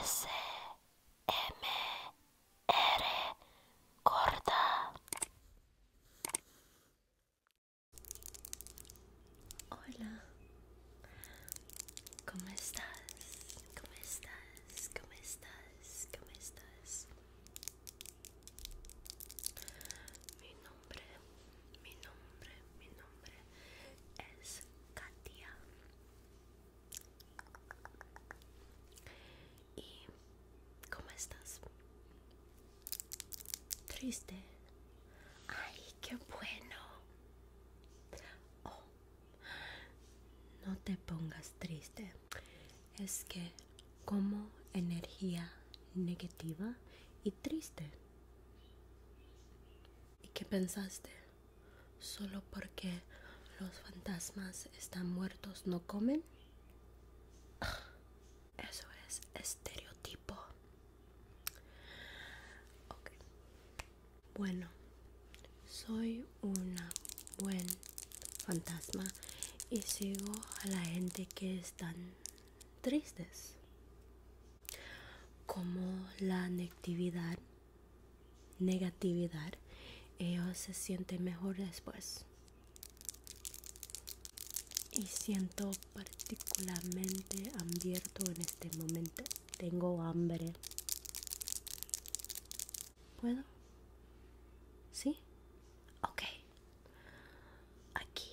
S M R corta. Hola. ¿Cómo estás? ¿Cómo estás? ¿Cómo estás? ¿Cómo estás? nombre, mi nombre, mi nombre es Katia. ¿Y cómo estás? Triste. Ay, qué bueno. Oh, no te pongas triste. Es que como energía negativa y triste. ¿Y qué pensaste? ¿Solo porque los fantasmas están muertos no comen? Ah, eso es estereotipo. Bueno, soy una buen fantasma y sigo a la gente que están tristes como la negatividad, negatividad, ellos se sienten mejor después. Y siento particularmente abierto en este momento. Tengo hambre. ¿Puedo? ¿Sí? Ok. Aquí.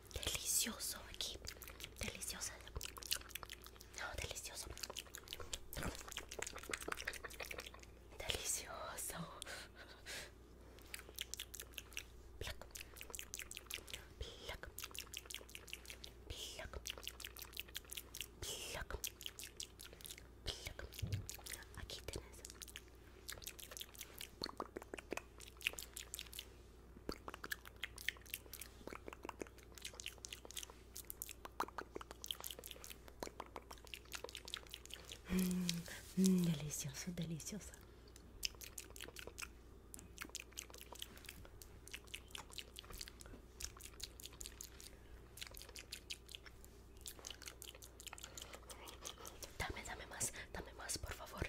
delicioso aquí. Delicioso. No, delicioso. Delicioso. Aquí tenés. Mm, mm, delicioso, deliciosa. Dame, dame más, dame más, por favor.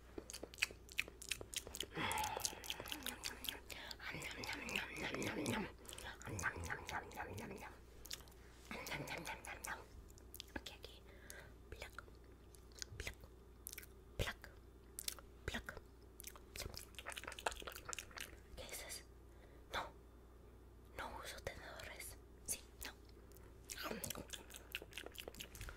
Aquí, aquí. pluck pluck pluck ¿Qué dices? No, no uso tenedores. Sí, no.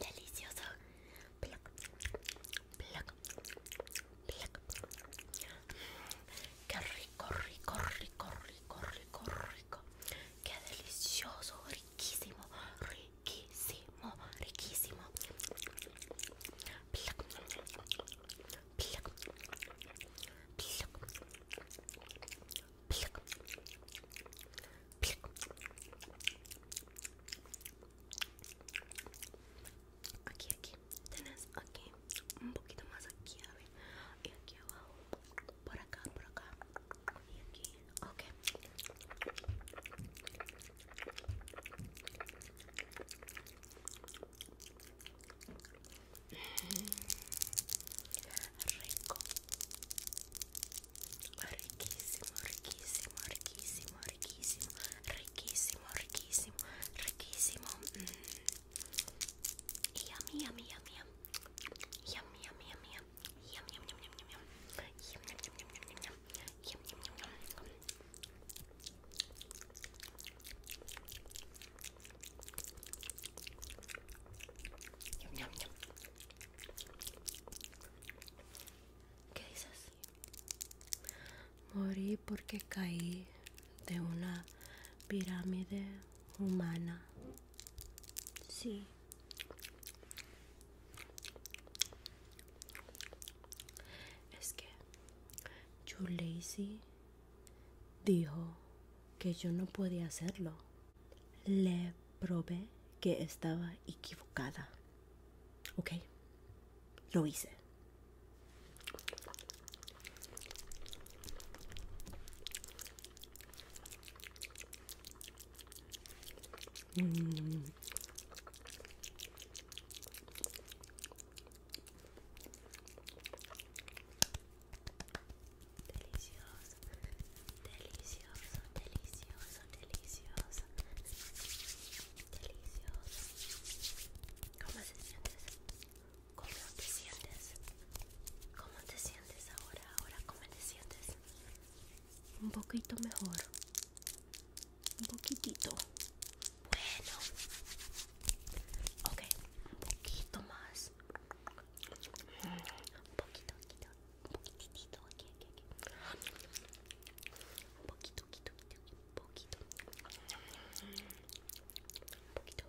delicioso. Qué rico, rico, rico, rico, rico, rico. Qué delicioso, riquísimo, riquísimo, riquísimo. Aquí, aquí, tenés aquí, un poquito más aquí, a ver, y aquí abajo, por acá, por acá, y aquí, Okay. Rico. Riquísimo, riquísimo, riquísimo, riquísimo, riquísimo, riquísimo, riquísimo. Mm. Yummy, yummy, yummy, yummy, yummy, yummy, ¿Qué dices? Morí porque caí de una pirámide humana. Sí. Es que yo Lazy dijo que yo no podía hacerlo. Le probé que estaba equivocada. Ok, lo hice. Delicioso, delicioso, delicioso, delicioso, delicioso. ¿Cómo te sientes? ¿Cómo te sientes? ¿Cómo te sientes ahora? Ahora, ¿cómo te sientes? un poquito mejor un poquitito bueno ok un poquito más un poquito poquito poquitito poquito poquito poquito poquito poquito poquito poquito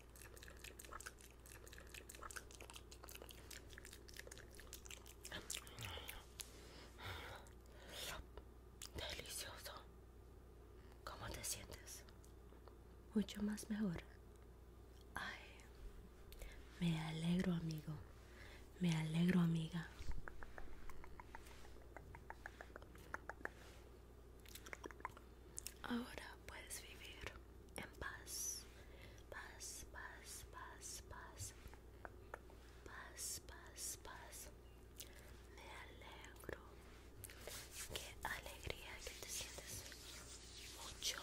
Delicioso. ¿Cómo te sientes? Mucho más mejor. Ay, me alegro amigo. Me alegro amiga. Ahora puedes vivir en paz, paz, paz, paz, paz, paz, paz, paz. Me alegro. Qué alegría que te sientes mucho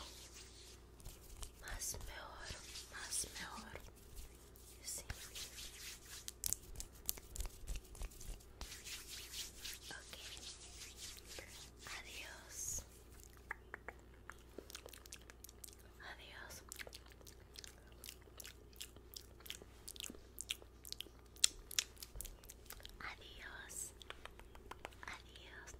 más mejor, más mejor. Sí. Adiós. Adiós. Adiós. Adiós.